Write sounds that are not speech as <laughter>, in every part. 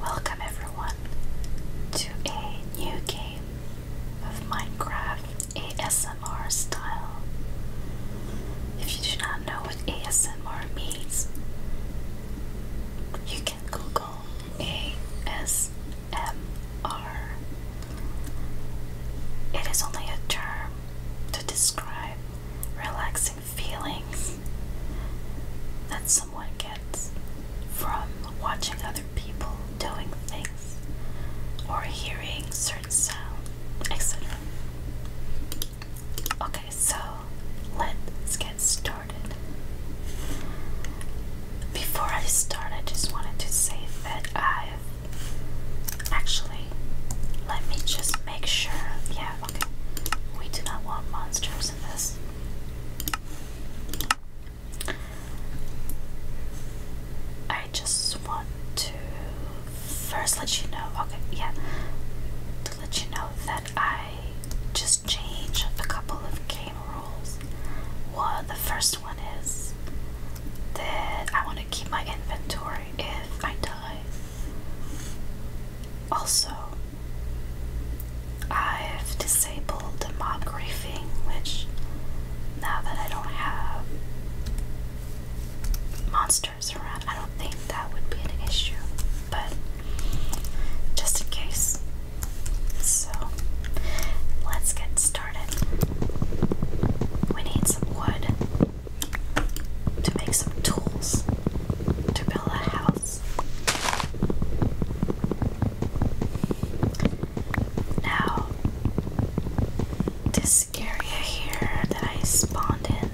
Welcome everyone to a new game of Minecraft ASMR style. If you do not know what ASMR means, you can Google ASMR it is only a term to describe relaxing feelings that someone gets from watching other people doing things or hearing certain sounds, etc. Okay, so let's get started. Before I start, I just wanted to say that I've Actually, let me just make sure. Yeah, okay. We do not want monsters in this. I just want to first let you know, okay, yeah, to let you know that I just changed a couple of game rules. One, the first one is that I want to keep my inventory if I die. Also, I've disabled the mob griefing, which now that I don't have monsters around, I don't think that would be an issue, but just in case. So, let's get started. We need some wood to make some tools to build a house. Now, this area here that I spawned in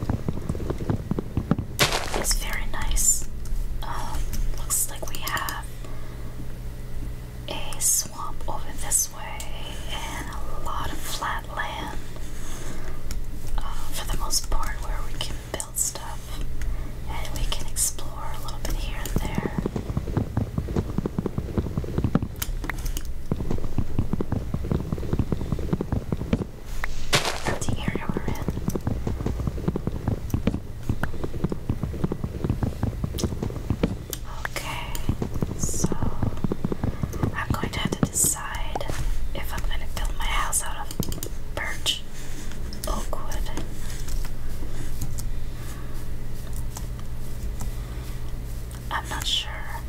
is very nice. Um, looks like we have a swamp over this way and a lot of flat land uh, for the most part where we can build stuff and we can explore a little bit here and there. That's the area we're in. Okay, so I'm going to have to decide if I'm going to build my house out of birch, oakwood. I'm not sure.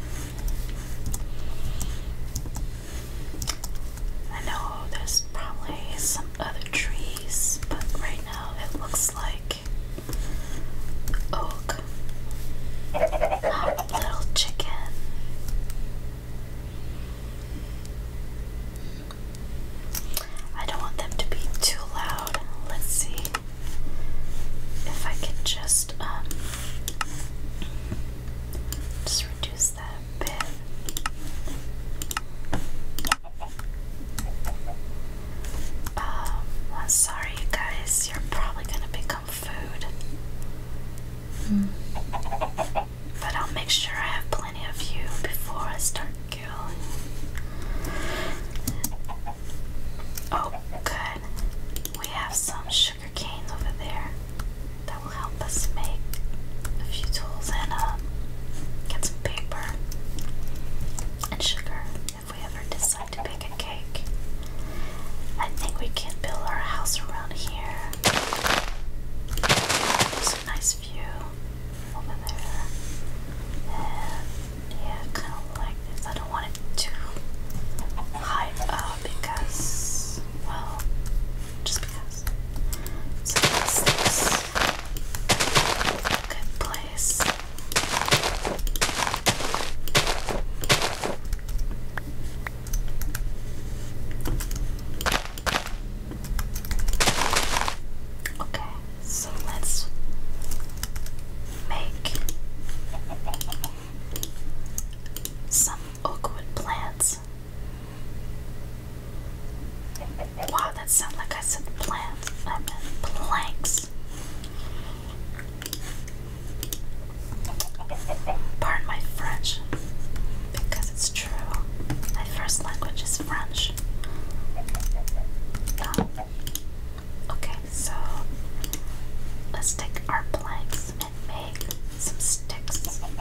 I know there's probably some other trees, but right now it looks like Oak. little chicken. I don't want them to be too loud. Let's see if I can just um just reduce that a bit. Um, I'm sorry, you guys. You're probably gonna become food. Hmm. But I'll make sure I have plenty of you before I start killing. Oh, good. We have some sugar canes over there that will help us make a few tools and uh, get some paper and sugar if we ever decide to bake a cake. I think we can build our house around here. nice view over there. yeah, kind of like this. I don't want it too high up because, well, just because. So, this is a good place. Okay, so let's make some oakwood plants. Wow, that sounds like I said plants. I meant planks. Pardon my French, because it's true. My first language is French. Ah. okay, so let's take our planks and make some sticks. And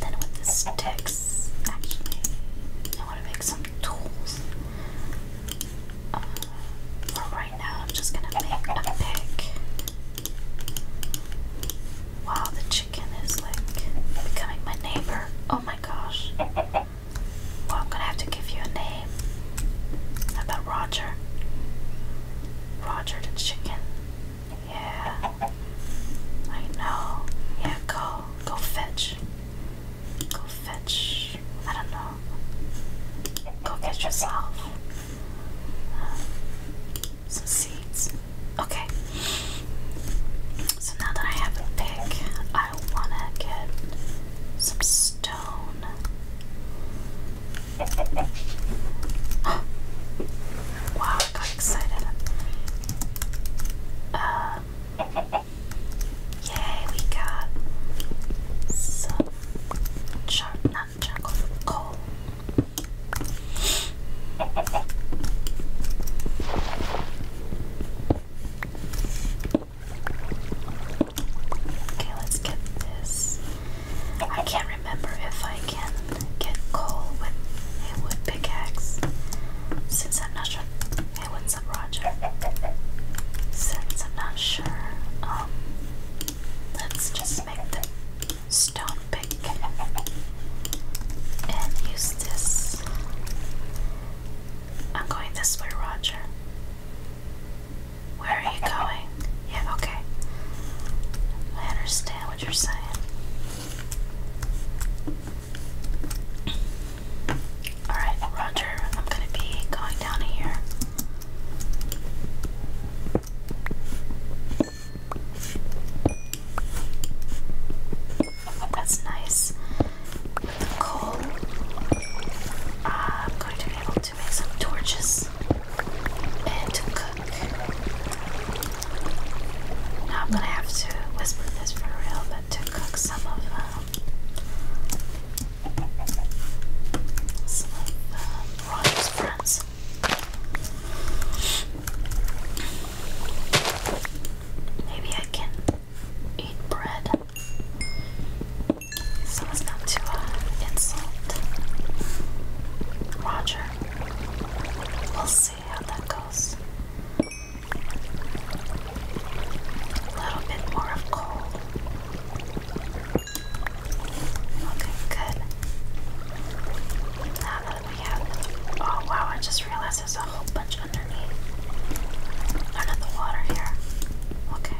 then with the sticks, I want to make some tools for right now, I'm just gonna make a pick. Wow, the chicken is like becoming my neighbor. Oh my gosh. Well, I'm gonna have to give you a name. How about Roger? Roger the chicken. Yeah. I know. Yeah, go. Go fetch. Go fetch much. I don't know. Go get yourself uh, some seeds. Okay. So now that I have a pick, I wanna get some stone. <gasps> wow, I got excited. Um, we got some Char not charcoal, coal. Okay, let's get this. I can't remember if I can get coal with a wood pickaxe. Since I'm not sure. Hey, what's up, Roger? Since I'm not sure um, Let's just make the stone big and use this. I'm going this way, Roger. Where are you going? Yeah, okay. I understand what you're saying. Alright, Roger, I'm gonna be going down here. That's nice. With the coal, I'm going to be able to make some torches and to cook. Now I'm gonna have to whisper this for real, but to cook some of um, some friends. Maybe I can eat bread so as not to uh, insult Roger. We'll see how that goes. A little bit more of cold. Okay, good. Now that we have, oh wow, I just realized there's a whole bunch underneath, under the water here. Okay,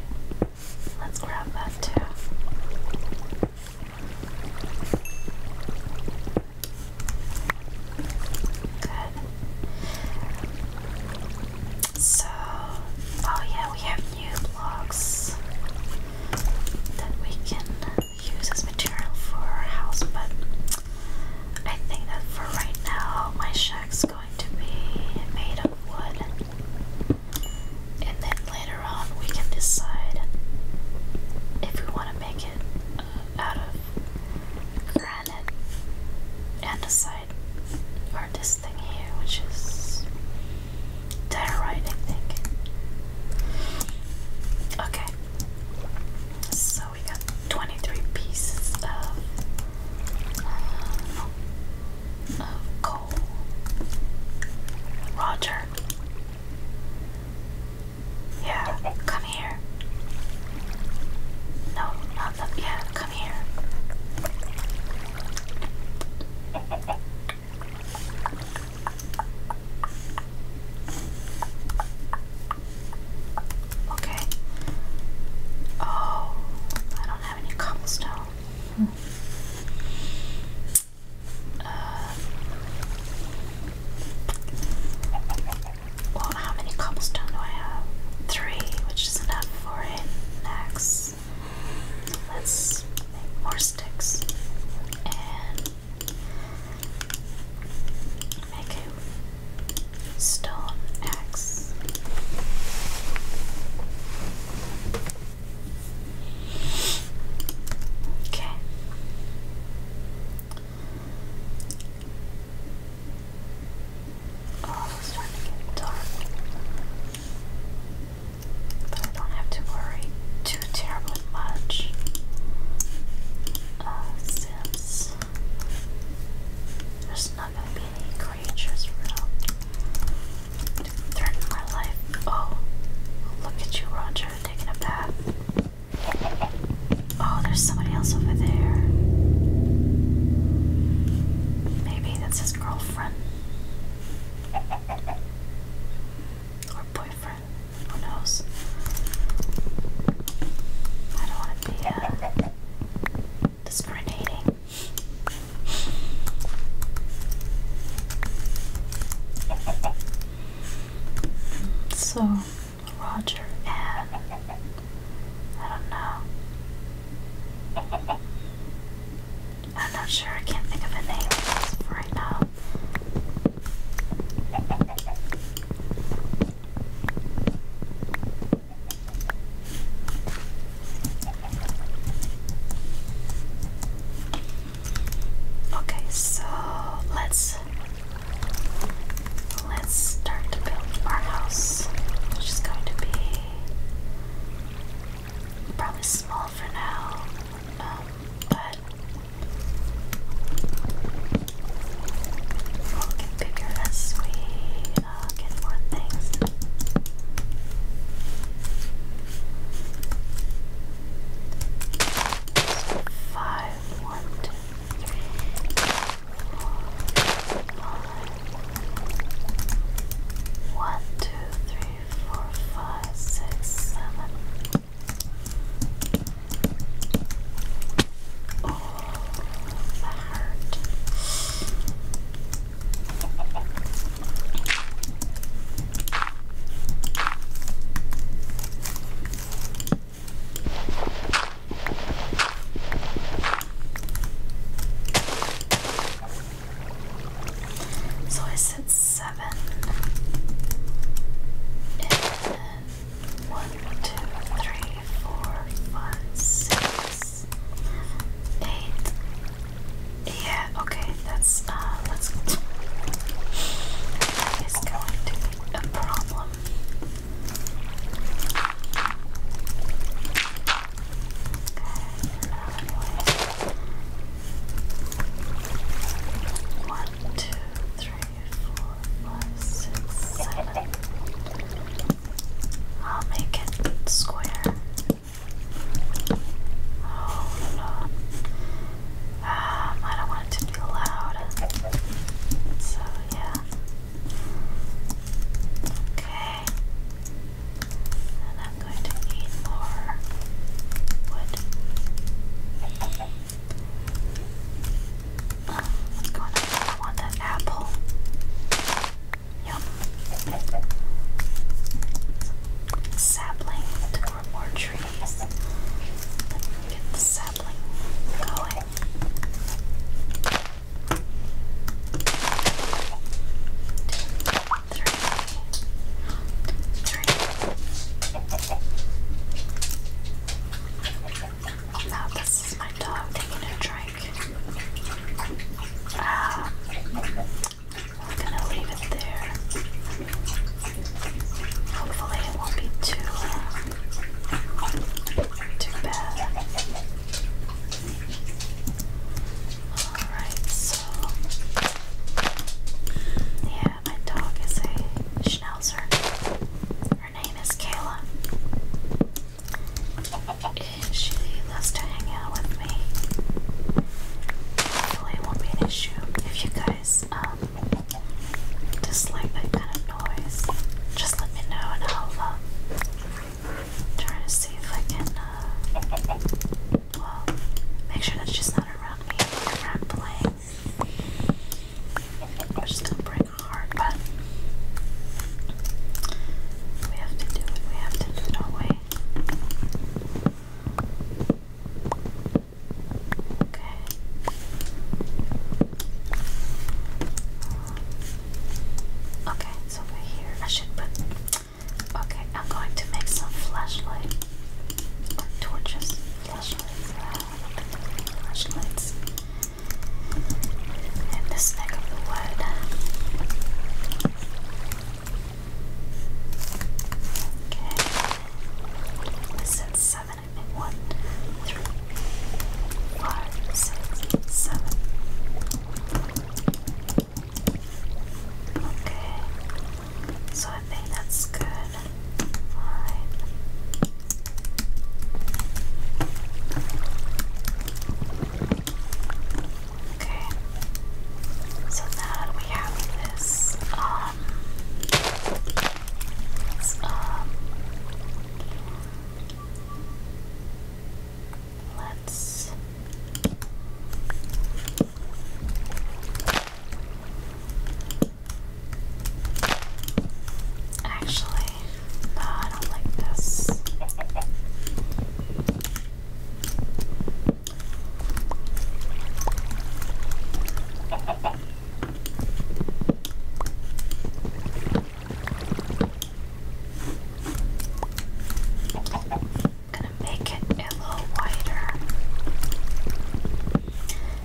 let's grab that too. Good. So, oh yeah, we have new blocks that we can use as material for our house, but I think that for right now, my shack's going to be made of wood. And then later on, we can decide if we want to make it uh, out of granite and or this thing here, which is diorite, I think. Okay. So we got 23 pieces of, uh, of coal. Roger. Yeah, come here. No, not that. Yeah, come here. Okay. Oh, I don't have any cobblestone. Hmm. Uh, well, how many cobblestone do I have? Three, which is enough for an next. Let's make more sticks and make a stone axe. Okay. Oh, it's but I don't have to worry too terribly much uh, since there's not going to be any creatures around my life. Oh, look at you, Roger, taking a bath. Oh, there's somebody else over there. Maybe that's his girlfriend. Or boyfriend. Who knows? I don't want to be uh, discriminating. So, Roger and I don't know. I'm not sure. I can't think of a name right now. Okay, so let's let's start to build our house, which is going to be probably small for now, um, but we'll get as we uh, get more things. Five, one, two, three, four, five, six, seven. Oh, that hurt. So I said seven. And then one, two, three, four, five, six, eight. Yeah, okay, that's uh that's that is going to be a problem. One, two, three, four, five, six, seven. I'll make it square. Hold on. Um, I don't want it to be loud. So, yeah. Okay. I'm going to need more wood. Oh, what's going on? want that apple. Yum. Sapling to more trees. Get the sapling going three, three. Now this is my dog taking a drink. Ah, I'm gonna leave it there. Hopefully it won't be too too bad. Alright, so yeah, my dog is a schnauzer. Her name is Kayla. she loves to hang out with me. Hopefully won't be an issue. If you guys um, dislike that kind of noise, just let me know and I'll uh, try to see if I can uh, <gasps> make sure that's just not around me around playing. I'm just gonna break her but we have to do it, we have to do it our way. Okay. Okay, so we here. I should put Okay, I'm going to make some flashlight torches. Flashlights. Flashlights. In this neck of the wood. Okay. This said seven, I think. One, three, five, six, seven. Okay, so I think that's good. Okay, so now we have this, um, um let's Actually, no, I don't like this. I'm gonna make it a little wider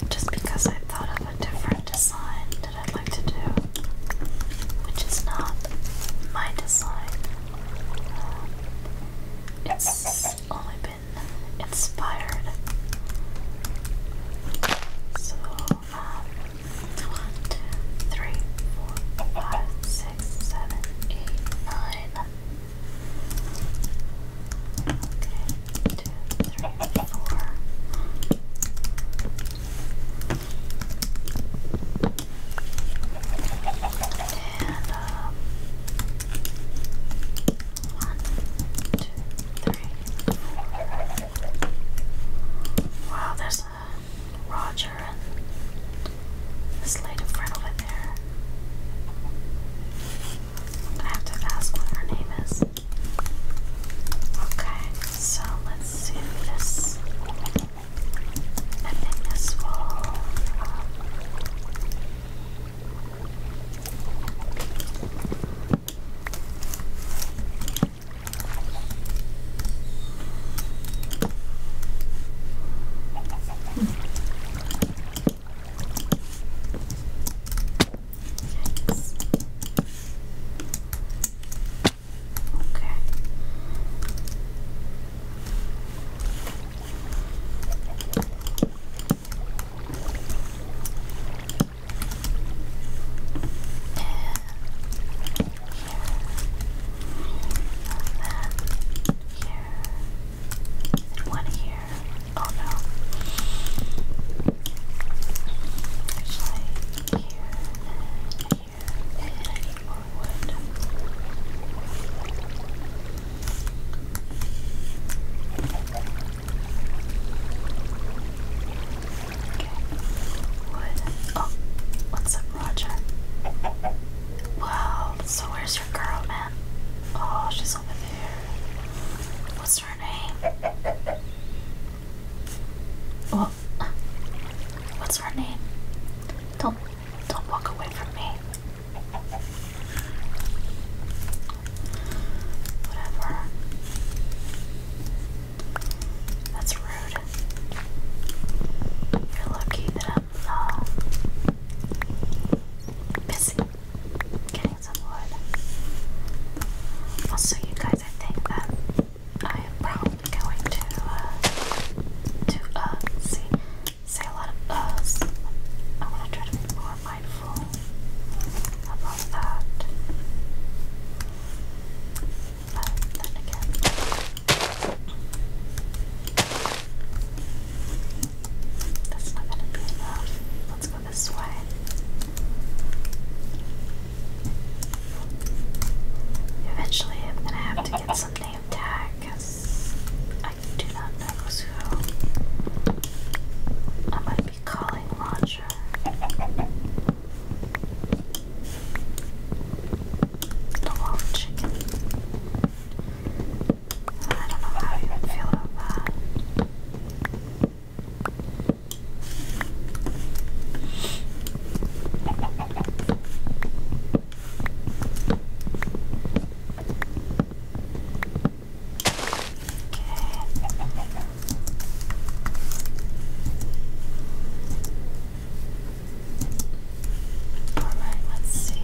just because I thought of a different design that I'd like to do, which is not my design. Um, it's only been inspired. So, um, one, two, three, four, five, six, seven, eight, nine. Okay, two, three, four. And one, two, three, four. Wow, there's a Roger and a slate friend over there. I have to ask what her name is. Okay, so let's do this. I think this will um, Yes. Okay. And here, and then here, and one here. Oh no. There's here here, and I wood. Okay. Wood. Oh, what's up, Roger? Wow, so where's girl, man? Oh, she's over there. What's her name? Oh, what's her name? Don't, don't walk away from me. Whatever. That's rude. You're lucky that that's all. Busy getting some wood. Also, you guys, I think that I am probably going to uh, to uh see say a lot of us. Uh, I want to try to be more mindful about that. But then again. That's not gonna be enough. Let's go this way. Eventually, I'm gonna have to get some name tag because I do not know who. I might be calling Roger. The wall chicken. I don't know how you would feel about that. Alright, let's see.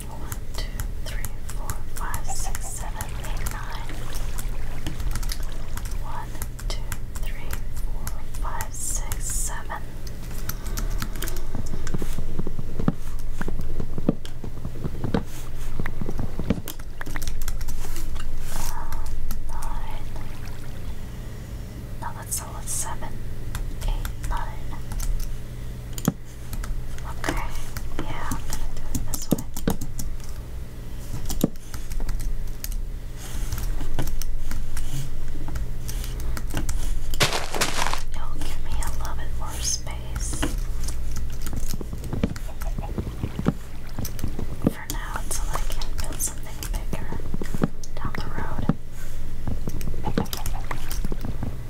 One, two, three, four, five, six, seven, eight, nine. One, two, three, four, five, six, seven. Uh, nine. No, that's all. Seven, eight, nine. Okay, yeah, I'm do it this way. it give me a little bit more space. For now, until I can build something bigger down the road.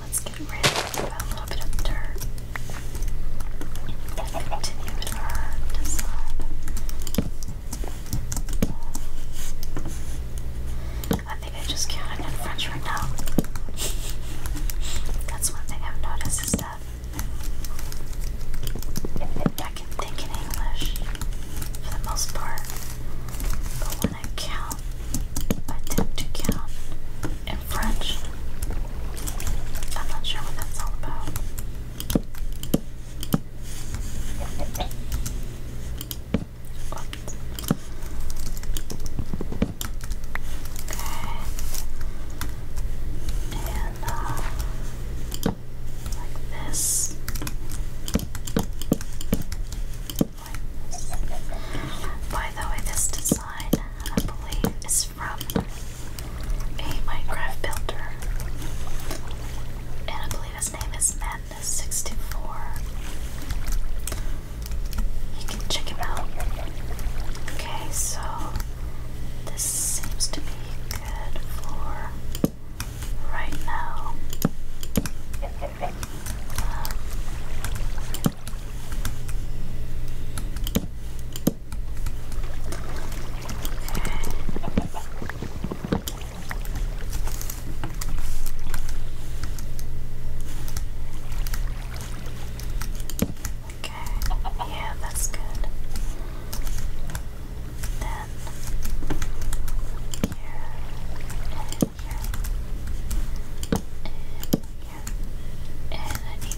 Let's get rid of a little bit of dirt and continue with our design. I think I just counted in French right now. <laughs> That's one thing I've noticed is that I can think in English for the most part, I count, I tend to count in French. I'm not sure what that's all about. Okay. And uh, like this. By the way, this design I believe is from a Minecraft builder, and I believe his name is Madness64. You can check him out. Okay, so this seems to be good for right now. Okay, yeah, that's good. Then here here, and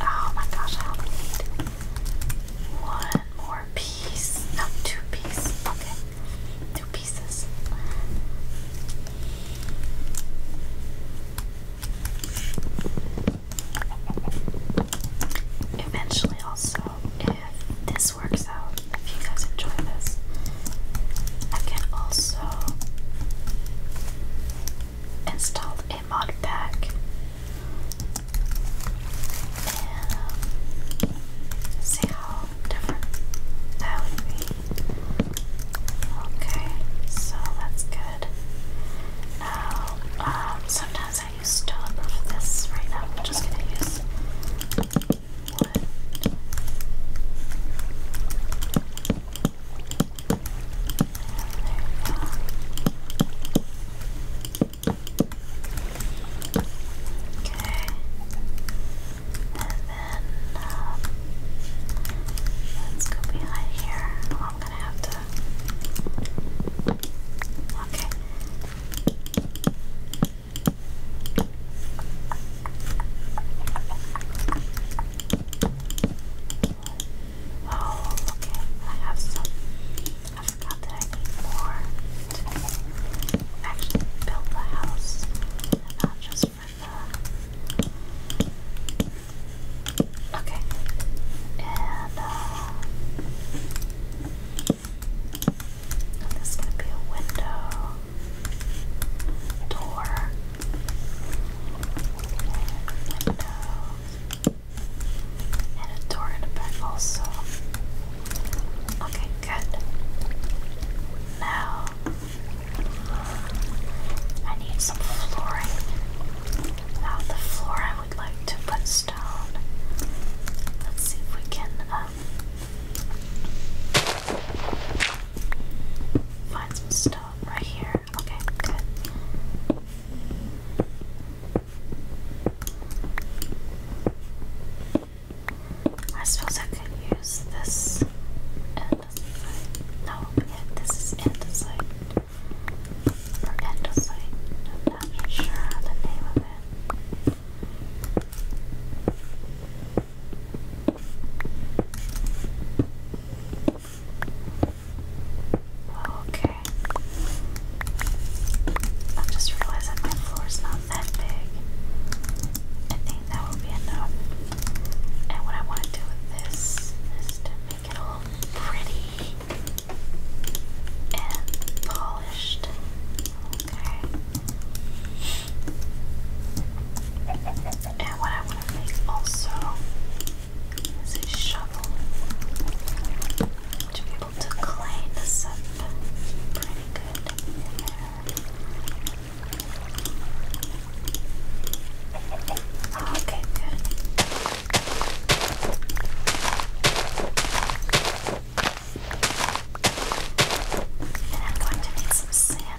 Oh my gosh, I need one more piece. No, oh two pieces. Okay, two pieces. Eventually, also, if this works out if you guys enjoy this. I can also install a mod pack and see how different that would be. Okay, so that's good. Now, um, sometimes I use stone, for this right now, I'm just gonna use um, let's go behind here. Oh, I'm gonna have to. Okay. Oh, okay. I have some. I forgot that I need more actually build the house, not just for the. Okay. and uh, this is gonna be a window door, window, and a door in the back also. Okay, good. Now I need some flooring. Now the floor I would like to put stone. Let's see if we can um, Find some stone right here. Okay, good. I suppose I could use this andesite. No, yeah, this is andesite. Or andesite. I'm not sure the name of it. Okay. I just realized that my floor is not that big. I think that will be enough. And what I want to do with this is to make it all pretty and polished. Okay. And what I want to make also is a shovel to be able to clean this up pretty good Okay, good. And I'm going to make some sand.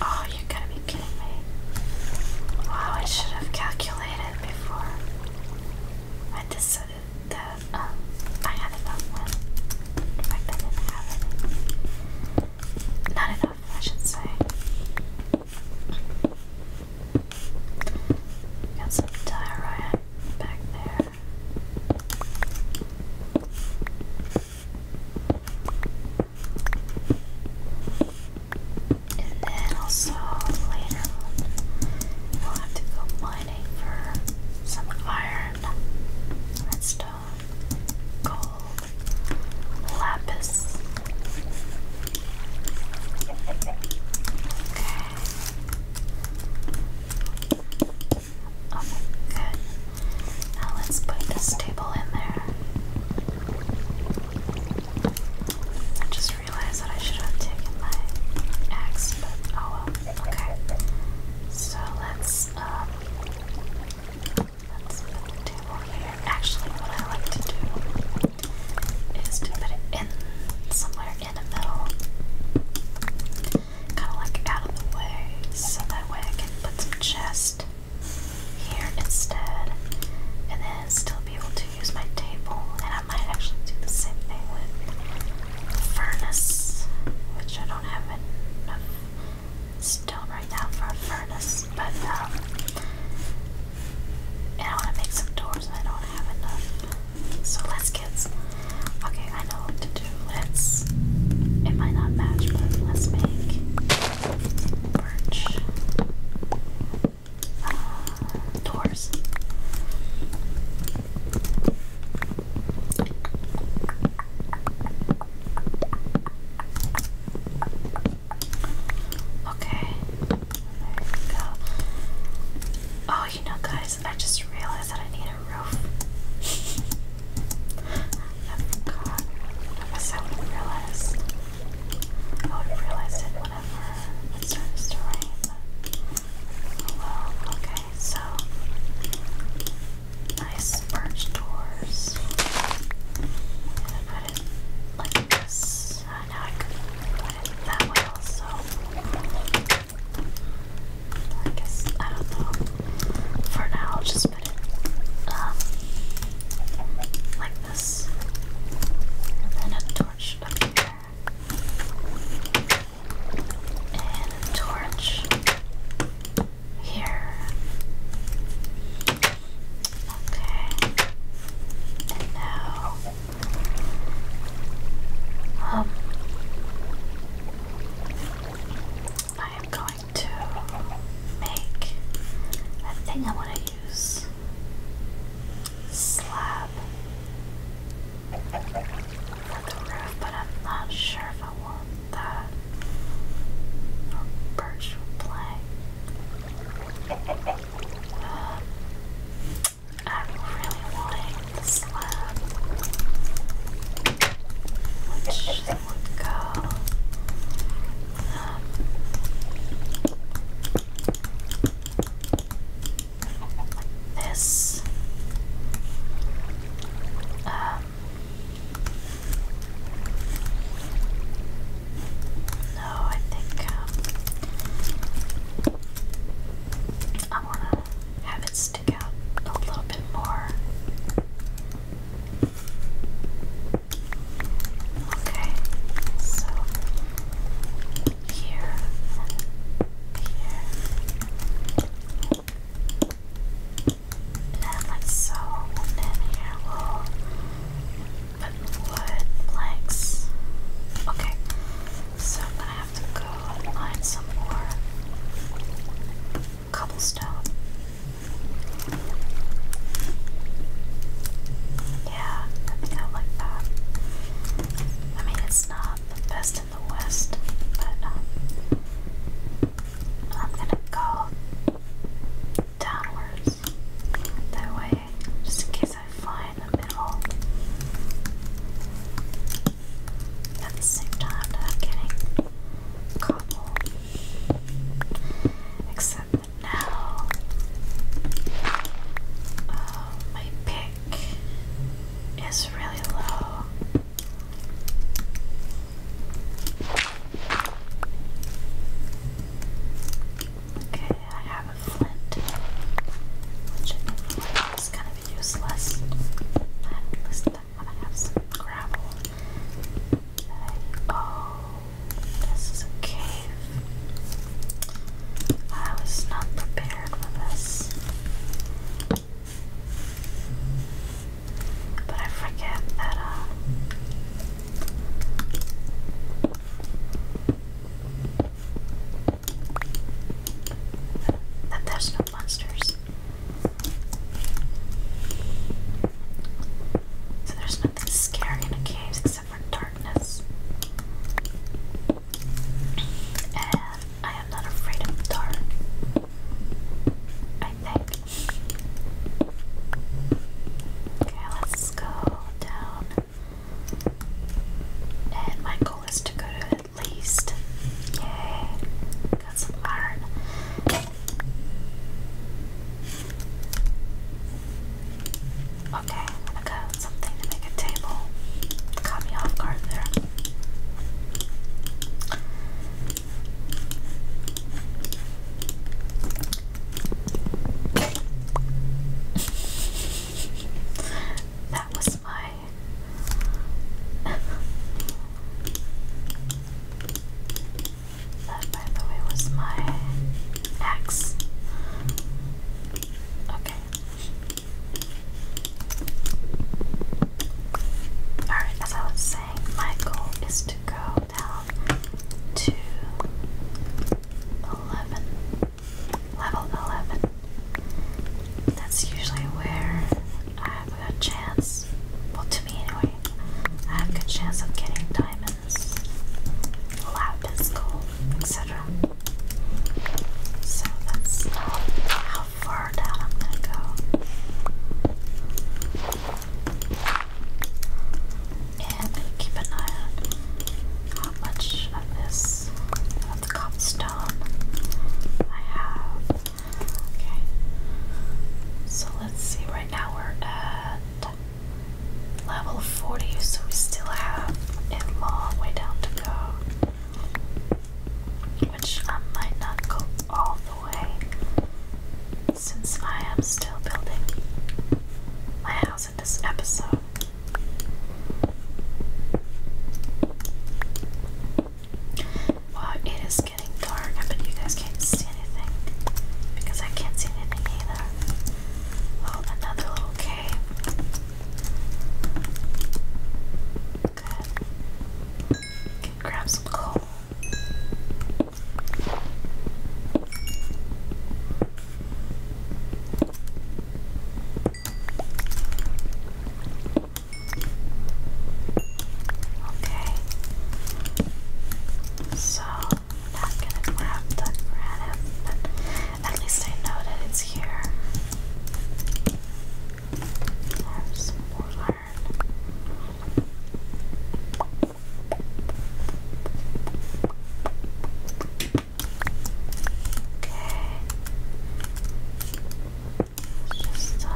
Oh, you gotta be kidding me. Wow, I should have calculated before I decided that um, I had enough one. In fact, I didn't have any. Not enough, I should say. Got some diorite back there. And then also later we'll have to go mining for some iron, redstone, gold, lapis. Okay. Okay, oh good. Now let's put this table in there. I just realized that I should have taken my axe, but oh well. Okay. So let's um let's put the table here. Actually what I like to do is to put it in somewhere in the middle. Kinda like out of the way, so that way I can put some chest here instead, and then still be able to use my table. And I might actually do the same thing with the furnace, which I don't have enough stone right now for a furnace, but um, and I want to make some doors, and I don't have enough. So let's get. Okay, I know what to do. Let's. It might not match, but let's make birch uh, doors. Okay, there we go. Oh, you know, guys, I just realized that I need a roof. <laughs> I forgot. I guess I would have realized. I would have realized it whenever it starts to rain. Well, okay, so nice birch doors. And I put it like this. Uh, now I could put it that way also. I guess I don't know. For now, just um, like this. And a torch up here. And a torch here. Okay. And now. Um, I am going to make I think I want to use slab for the roof, but I'm not sure if I want that. Or birch plank. I'm um, really wanting the slab, it this no, um, I think um, I want to have it stick out a little bit more. Okay, so here here. And like so, and then here we'll put wood planks. Okay, so I'm gonna have to go and line some more cobblestone. Yeah, I think I like that. I mean, it's not the best in the West, but um, I'm gonna go downwards that way, just in case I fly the middle. At the same time I'm getting cobble. Except now um, my pick is really low. Okay, I have a flint, which is kind of useless. At least I'm gonna have some gravel. Oh, this is a cave. I was not prepared for this. But I forget that, uh, That there's no monsters. So there's nothing scary in the caves except for darkness. And I am not afraid of dark. I think. Okay, let's go down. And my goal is to go to at least. Yay! Got some iron. Okay, I'm something to make a table. Caught me off that was my <laughs> That, by the way, was my axe. Okay. Alright, as I was saying, my goal is to go down to Level 11. That's usually where I have a chance, well, to me, anyway, I have a good chance of getting diamonds, lapis, gold, etc. So that's how far down I'm gonna go. And keep an eye on how much of this, of the cobblestone I have. Okay. So let's see, right now we're at level 40, so we still have a long way down to go. Which I might not go all the way since I am still building my house in this episode. Wow, it is getting dark. I you guys can't see because I can't see anything either. Oh, another little cave. Good. Can grab some coal. Okay. So not gonna grab that granite, but at least I know that it's here. Okay. just, uh...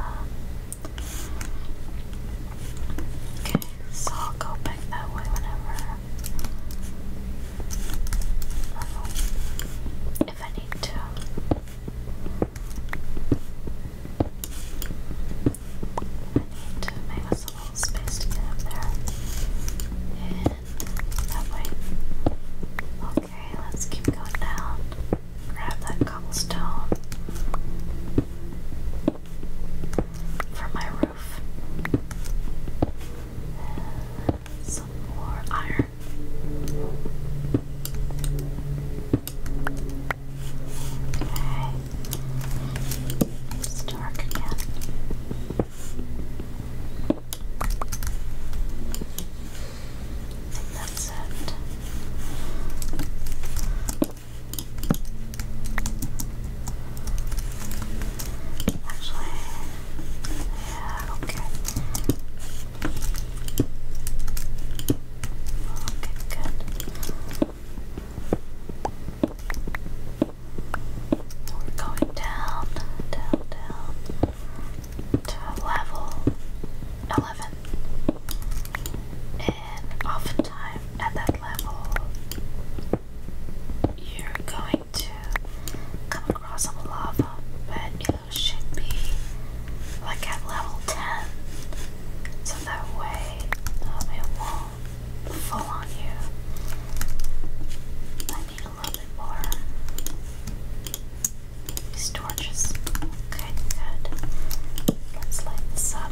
Okay. So I'll go back that way whenever. if I need to. I need to make us a little space to get up there. And that way. Okay, let's keep going down. Grab that cobblestone. For my some more iron. Okay. It's dark again. that's it. Actually, yeah, okay. Okay, good. We're going down, down, down to level 11. And oftentimes at that level, you're going to come across some lava, but you should be like at level 10, so that way um, it won't fall on you. I need a little bit more. These torches. Okay, good. Let's light this up.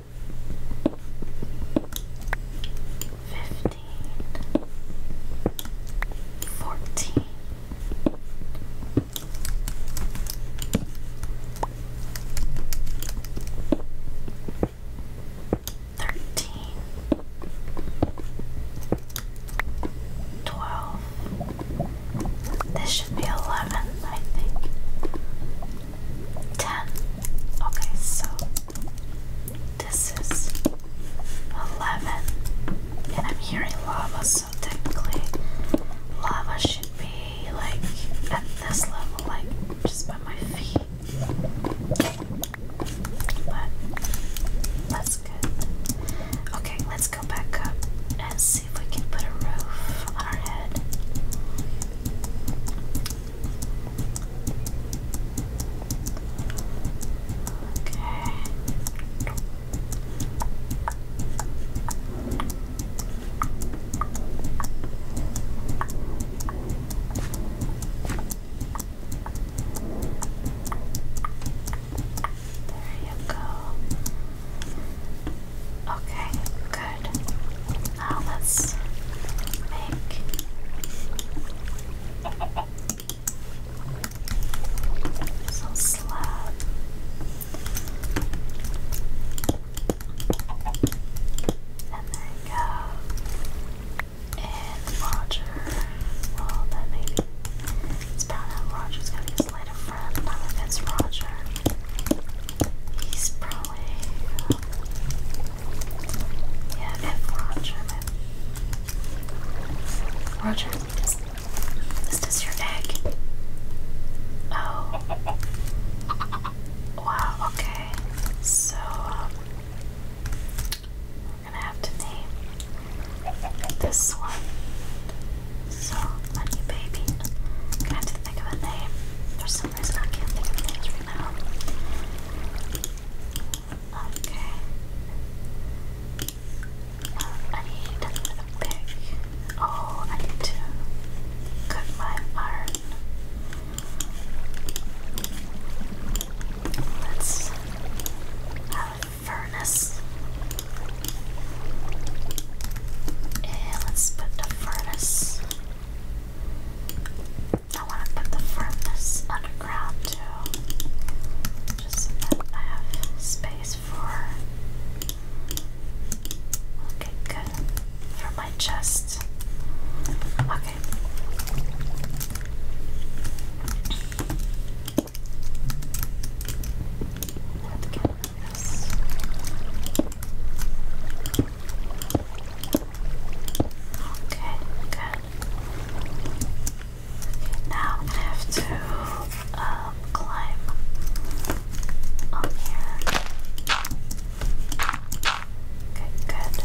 Fifteen, fourteen, thirteen, twelve. This should be eleven, I think. 10. Okay, so this is 11. And I'm hearing lava, so technically lava should be like at this level, like just by my feet. But that's good. Okay, let's go back up and see if we can put a roof on our head. Okay. There you go. Okay, good. Now let's make some slab. And there you go. And Roger. Well, then maybe it's probably Roger's gonna be his later friend. I think it's Roger. He's probably. Uh, yeah, if Roger. Maybe. Roger, is, is your egg? Oh. Wow, okay. So, um, we gonna have to name this one. So, Money Baby. I'm gonna have to think of a name. There's I can't think of names right now. Okay. Um, I need a pick. Oh, I need to cut my iron. Let's have a furnace. And let's put the furnace I want to put the firmness underground too, just so that I have space for. Okay, good. For my chest. Okay. let um, okay, good. Okay, now I'm gonna have to climb up here. Okay, good.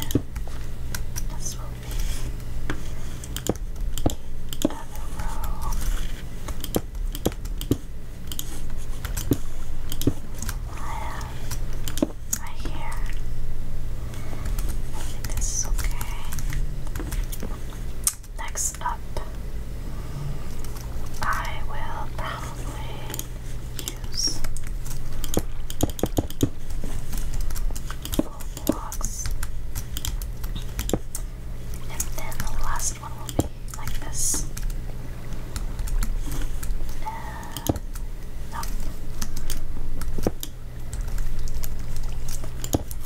And this will be the other row right here. I think this is okay. Next up, I will probably use full blocks. And then the last last uh,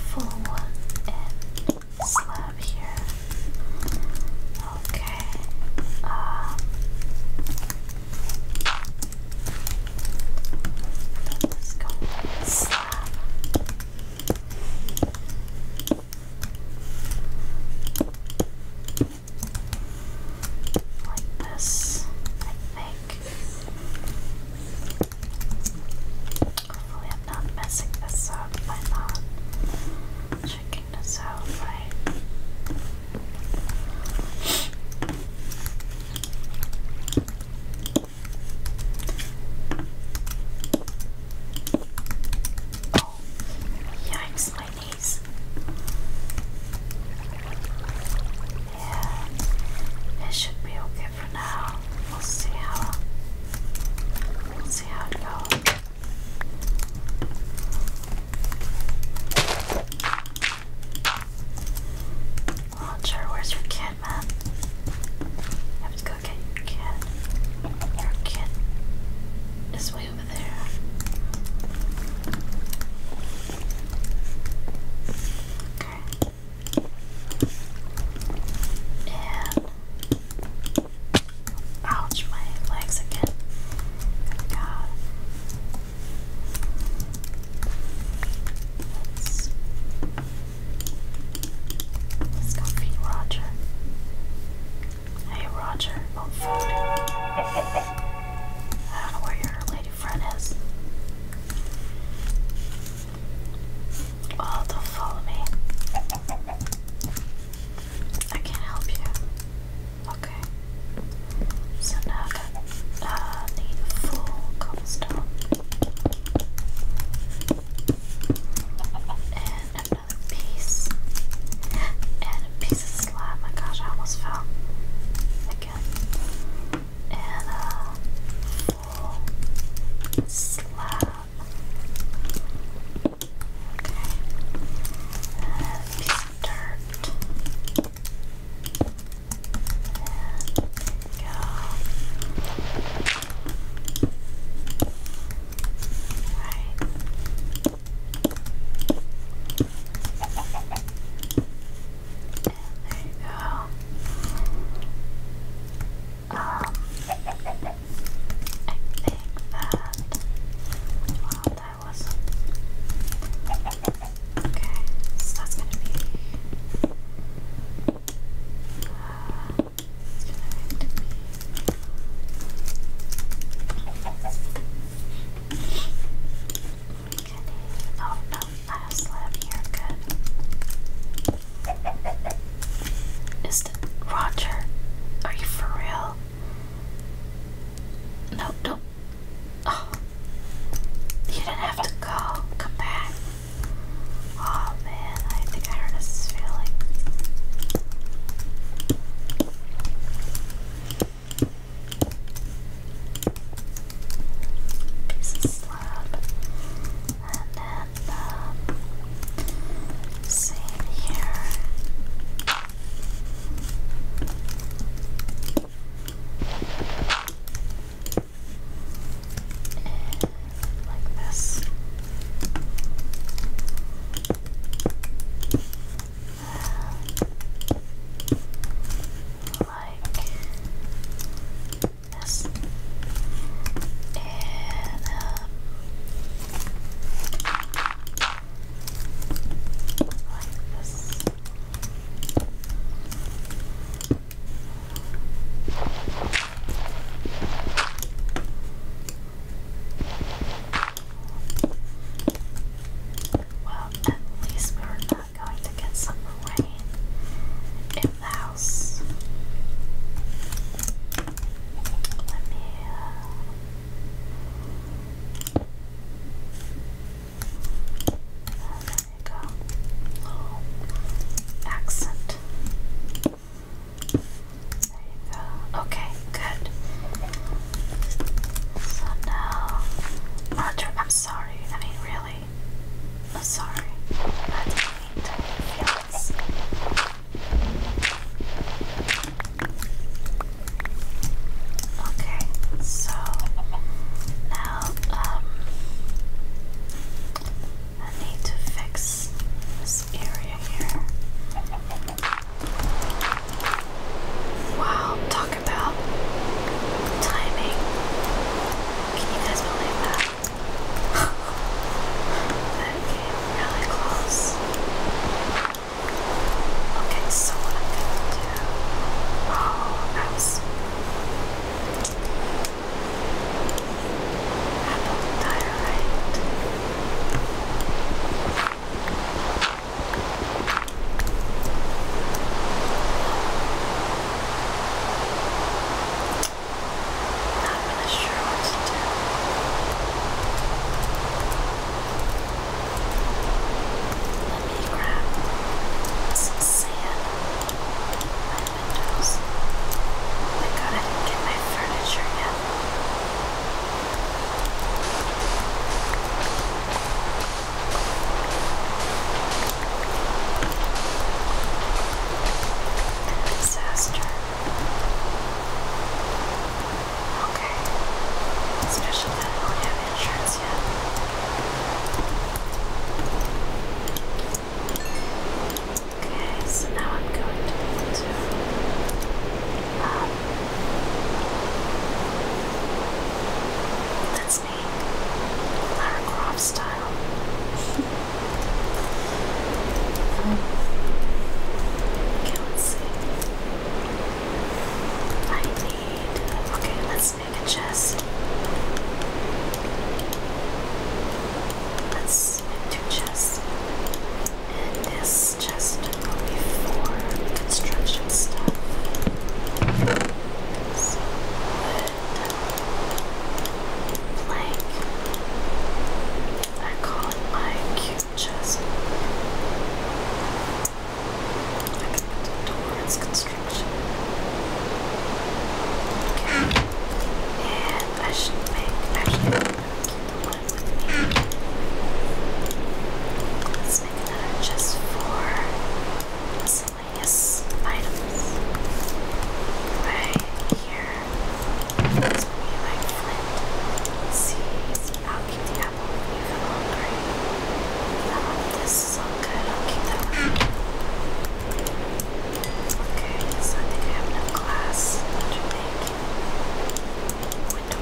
Full slab here. Okay. Um, let's go like this, I think. Hopefully I'm not messing this up I'm not checking this out right. Oh, yikes, my these. Yeah, it should be okay for now. We'll see how we'll see how it goes. Launcher, where's your kid, man? I have to go get your kid. Your kid is way over there. Okay. And ouch, my legs again. God. let's go feed Roger. Hey, Roger, want oh, food? I don't know where your lady friend is. Oh, don't follow me. I can help you. Okay. So now I uh, need a full cobblestone. And another piece. And a piece of slime. My gosh, I almost fell again. And a full slab. And a piece of dirt. And go. Right there you go. Um, I think that well that was okay. So that's going uh, to be Oh no, not a here, good. Is the Roger? Are you for real? No, don't. Oh, you didn't have to go. Come back. Oh man, I think I hurt his feeling piece of slab, and then um, same here. And eh, like this like this. And like this. Well, at least we were not going to get some rain in the house. Let me. Uh... there you go. accent. Okay, good. So now, Roger, I'm sorry. I mean, really, I'm sorry. I did to feel this. Okay, so now um, I need to fix this area here. Wow, talk about timing. Can you guys believe that? <laughs> that came really close. Okay, so what I'm gonna do. Oh, that apple diorite. Not really sure what to do. Let me grab some sand my windows. I didn't get my furniture yet. Disaster. Okay. Especially that I don't have insurance yet. Okay, so now I'm going to need to um, that's me. Lara style. um, okay, let see. I need... Okay, let's make a chest. Let's make two chests. And this is just before construction stuff. So wood, plank. I call it my cute chest. towards construction. And I should make Let's make that just for miscellaneous items. Right here. This would be like flint. Seeds. I'll keep the apple even longer. Um, this is all good. I'll keep that one. Okay, so I think I have enough glass to make there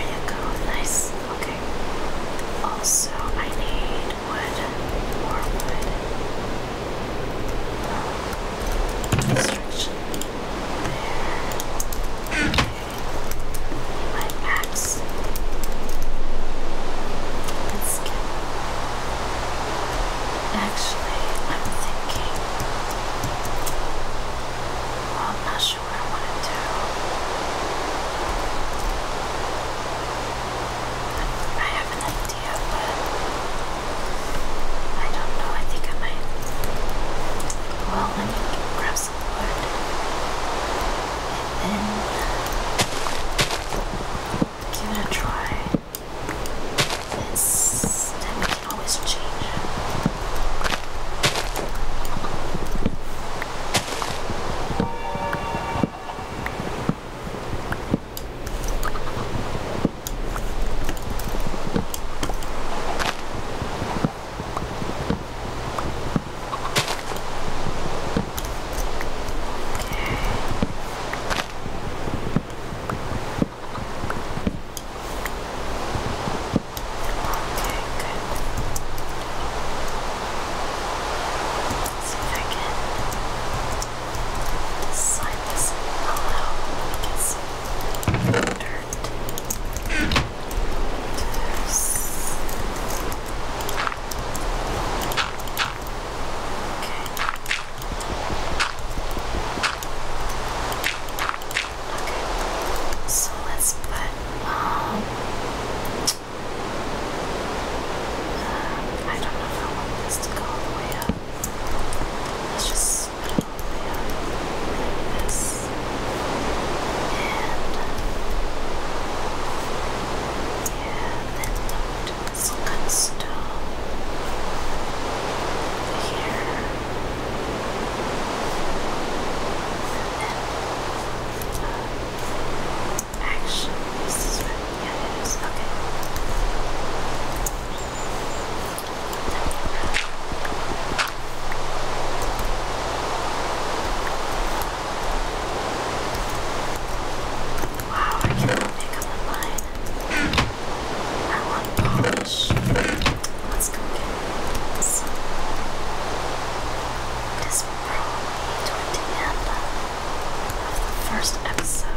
you go, nice. Okay. Also, I need wood, more wood. Construction. There. Okay. My ax Actually, I'm thinking. Well, I'm not sure what I want to do. I have an idea, I don't know. I think I might. Well, let me grab some wood. And then give it a try. This then we can always change. Okay see if I can slide this all out. We can see the dirt. Just... Okay. Okay, so let's put um, I don't know if I want to go Let's just put it all yeah, then don't do this cut stone actually, this is what, yeah, it is, okay. Wow, I can pick up a I want polish. Let's go get this. This probably toward first episode.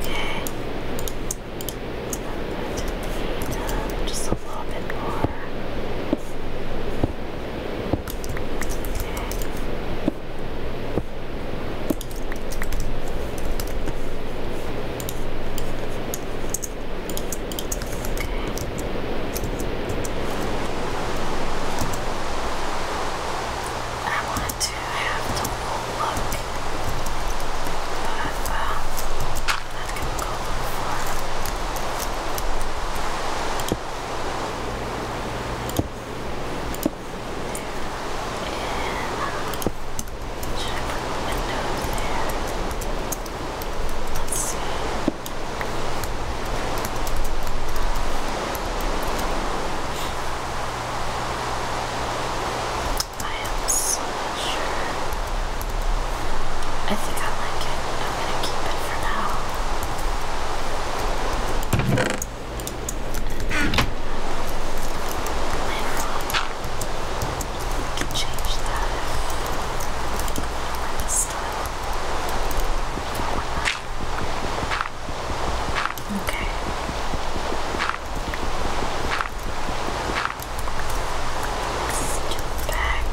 Okay. to need just a little bit more. I want to have the whole look of that can go far. And should I put the window there? Let's see. I am so not sure I think I like it. I'm gonna keep it for now. And later change that if I want Okay. Let's do back.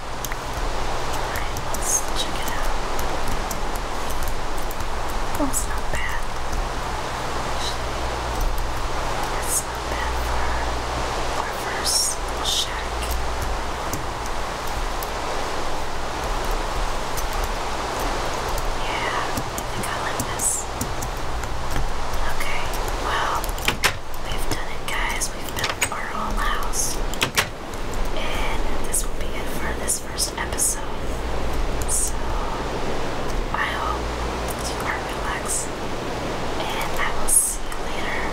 Alright, let's check it out. Well, not bad. Actually, it's not bad for our first shack. Yeah, I think this. Okay, well, we've done it, guys. We've built our whole house. And this will be it for this first episode. So I hope you are relaxed. And I will see you later.